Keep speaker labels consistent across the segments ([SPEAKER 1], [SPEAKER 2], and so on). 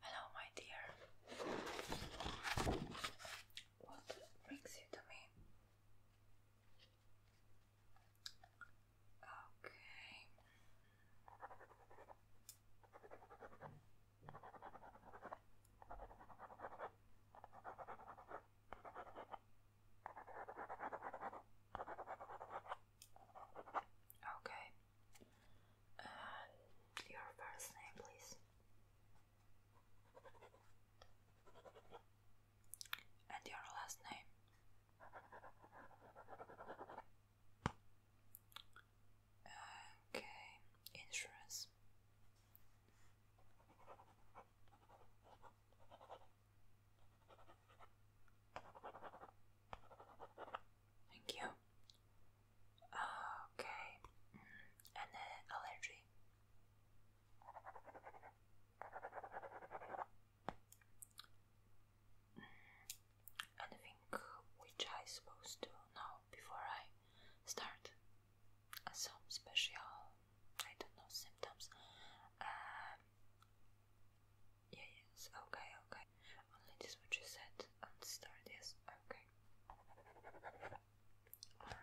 [SPEAKER 1] Hello, my dear. What brings you to me? Okay. Okay. Uh, and your first name, please. And your last name? Okay, insurance. Thank you. Okay, mm, and allergy. Anything which I supposed to know before I start? Some special, I don't know, symptoms. Um, yeah, yes, okay, okay. Only this what you said and start, yes, okay. Alright.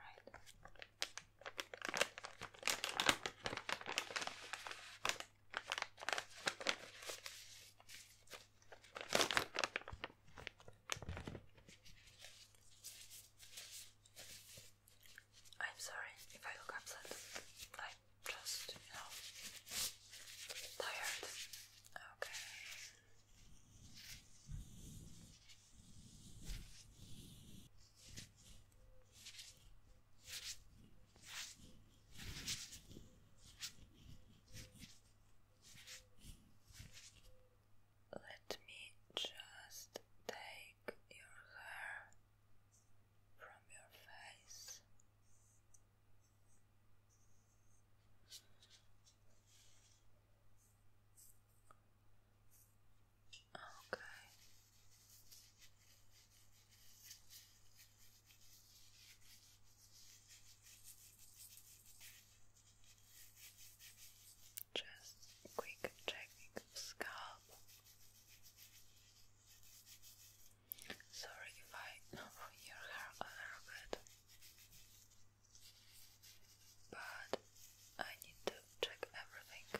[SPEAKER 1] I'm sorry if I look upset. i just, you know, tired. Okay. Let me just take your hair from your face. Okay. Just quick checking of scalp. Sorry if I know your hair a little bit but I need to check everything.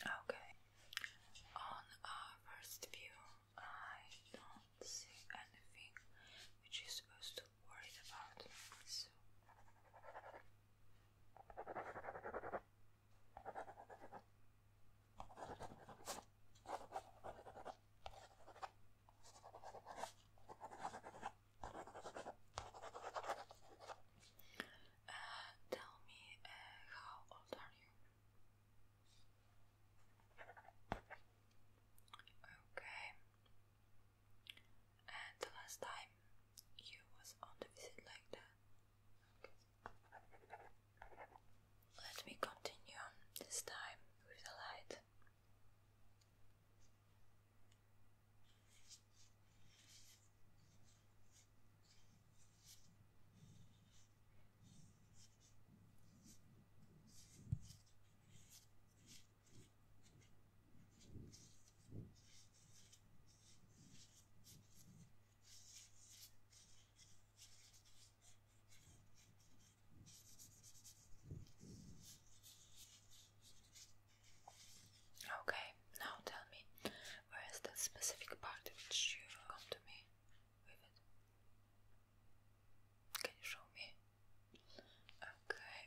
[SPEAKER 1] Okay, on our uh, first view, I don't see anything which you supposed to worry about. So. Uh, tell me, uh, how old are you? Okay. And the last time you was on the visit like that? Okay. Let me continue this time with the light. Okay, now tell me, where is that specific part which you come to me with it? Can you show me? Okay.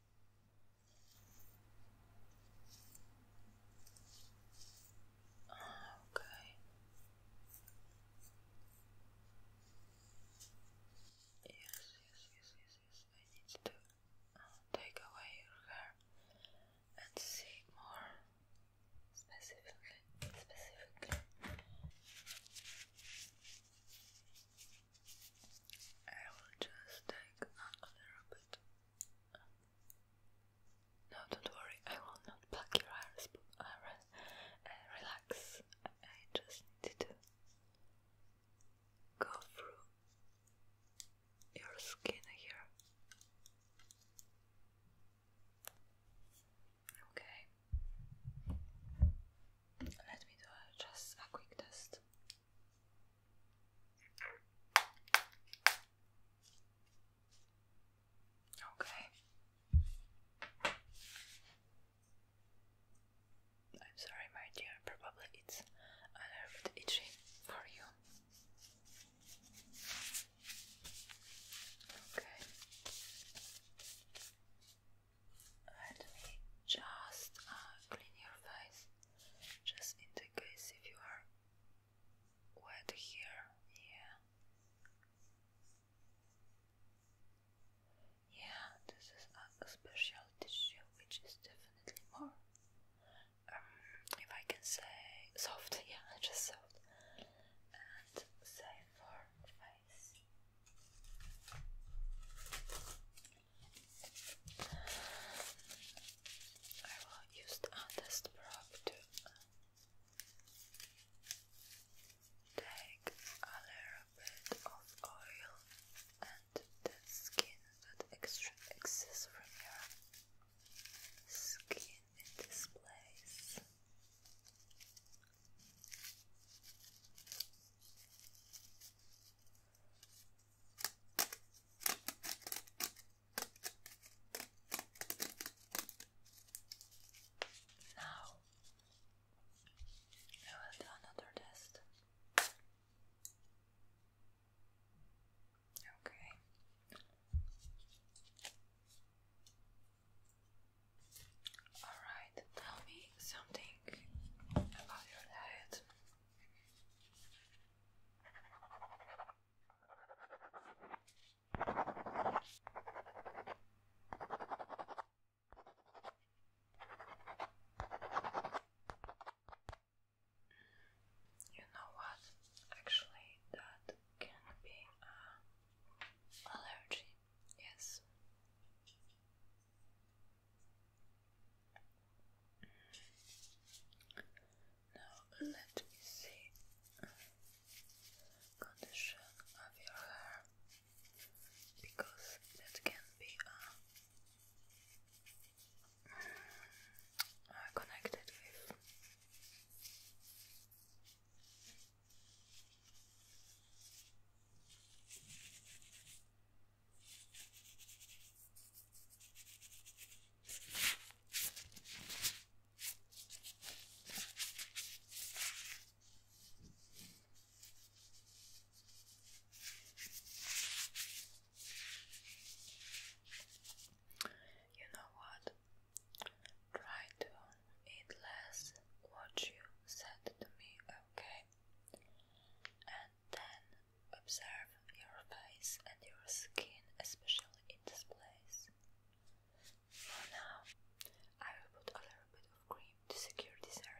[SPEAKER 1] Okay. Yes, yes, yes, yes, yes. I need to take away your hair and see more specifically. Specifically. I will just take another bit. No, don't worry, I will not pluck your iris, but uh, re uh, relax. I, just need to go through your skin here. Okay. Let me do just a quick test. Okay. I'm sorry, my dear, probably it's a little bit itchy for you. Okay. Let me just uh, clean your face just in the case if you are wet here. Yeah. Yeah, this is a special tissue which is definitely more, um, if I can say, soft. Yeah, just soft and safe for face. I will use the untest probe to uh, take a little bit of oil and the skin that extra excess from your skin in this place. Now I will do another test. Okay. All right, tell me something about your diet. You know what? Actually, that can be an allergy. Yes. Now let me see condition of your hair because that can be uh, uh connected with you know what? Try to eat less what you said to me, okay? Then observe your face and your skin, especially in this place. For now, I will put a little bit of cream to secure this area.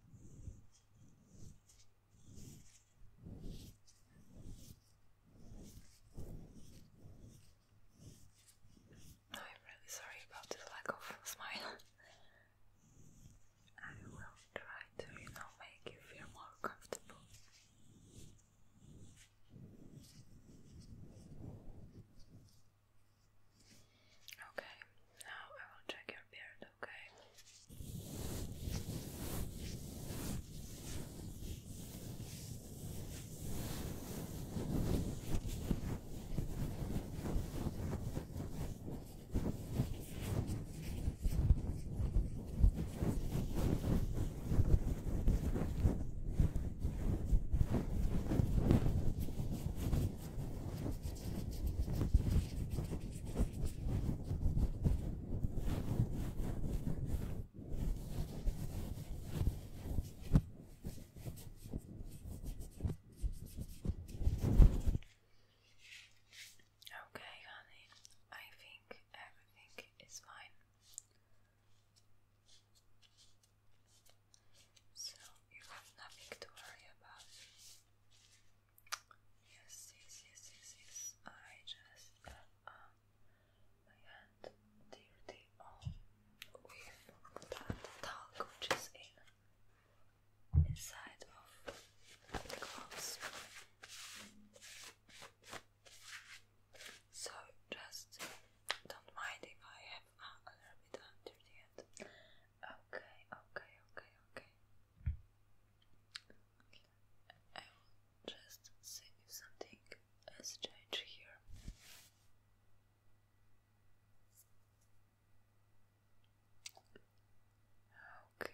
[SPEAKER 1] I'm really sorry about this lack of smile. I will try to, you know, make you feel more comfortable. Okay, now I will check your beard, okay? Okay, honey, I think everything is fine. So you have nothing to worry about. Yes, yes, yes, yes, yes. I just got my hand dirty all with that talc which inside of the clothes. So just don't mind if I have a little bit under the end. Okay, okay, okay, okay. I will just see if something has changed here. Okay.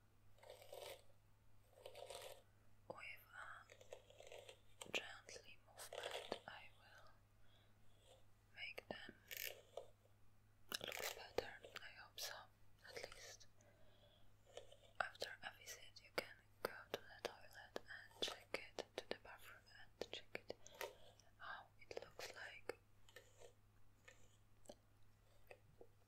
[SPEAKER 1] With a gently movement, I will make them look better. I hope so, at least. After a visit, you can go to the toilet and check it, to the bathroom and check it how it looks like. Maybe a little bit more.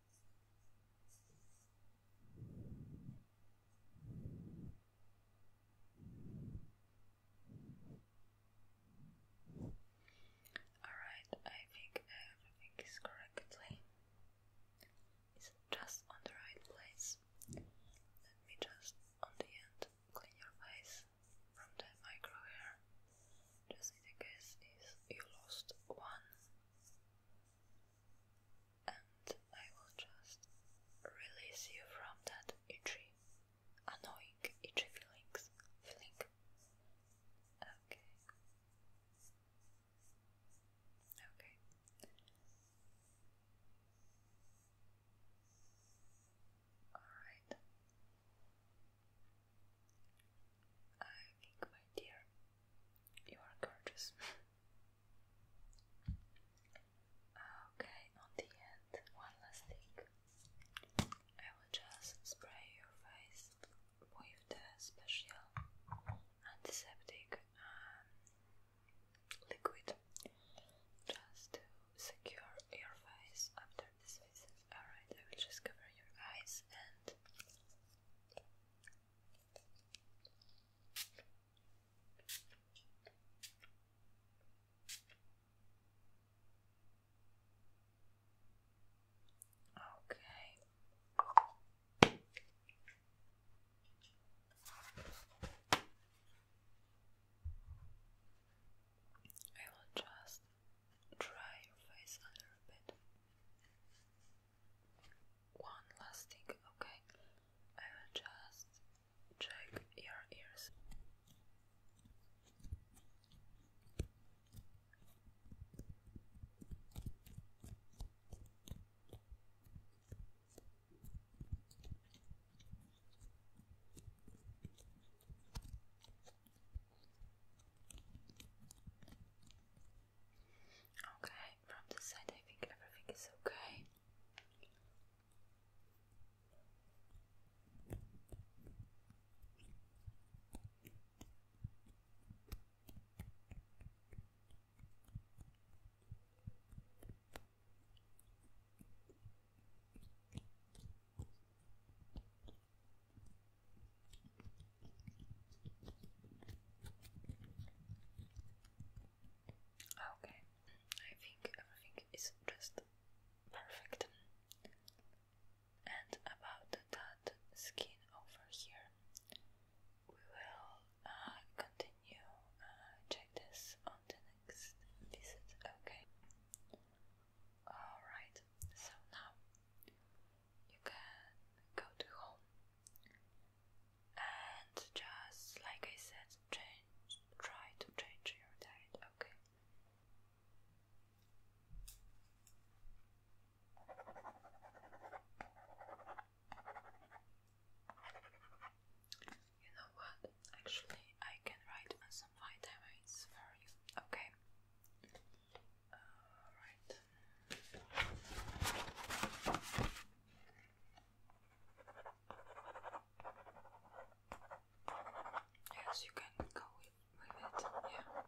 [SPEAKER 1] Alright, I think everything is correctly. It's just on the right place. Let me just on the end clean your face from the micro hair. Just in case is you lost one and I will just release you from that itchy, annoying itchy feelings. Feeling. Okay. Okay. Alright. I think, my dear, you are gorgeous. okay, on the end, one last thing. I will just spray your face with the special antiseptic um, liquid just to secure your face after this visit. Alright, I will just cover your eyes and Okay. I will just dry your face a bit. One last thing, okay? I will just check your ears. Okay, from this side I think everything is okay. Okay, I think everything is just perfect. And about that skin over here, we will uh, continue uh, check this on the next visit. Okay. All right. So now you can go to home and just like I said, change, try to change your diet, okay? You know what? Actually, I can write on some vitamins for you, okay? Alright. Yes, you can go with, it. Yeah.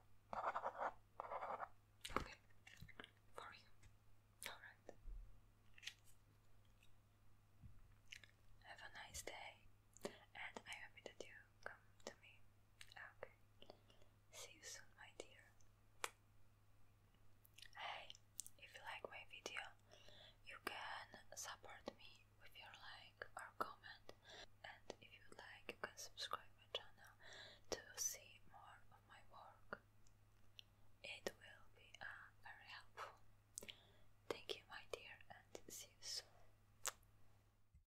[SPEAKER 1] Okay. For you. Alright. Have a nice day. And I hope that you come to me. Okay. See you soon, my dear. Hey, if you like my video, you can support me with your like or comment, and if you like, you can subscribe my channel to see more of my work. It will be uh, very helpful. Thank you, my dear, and see you soon.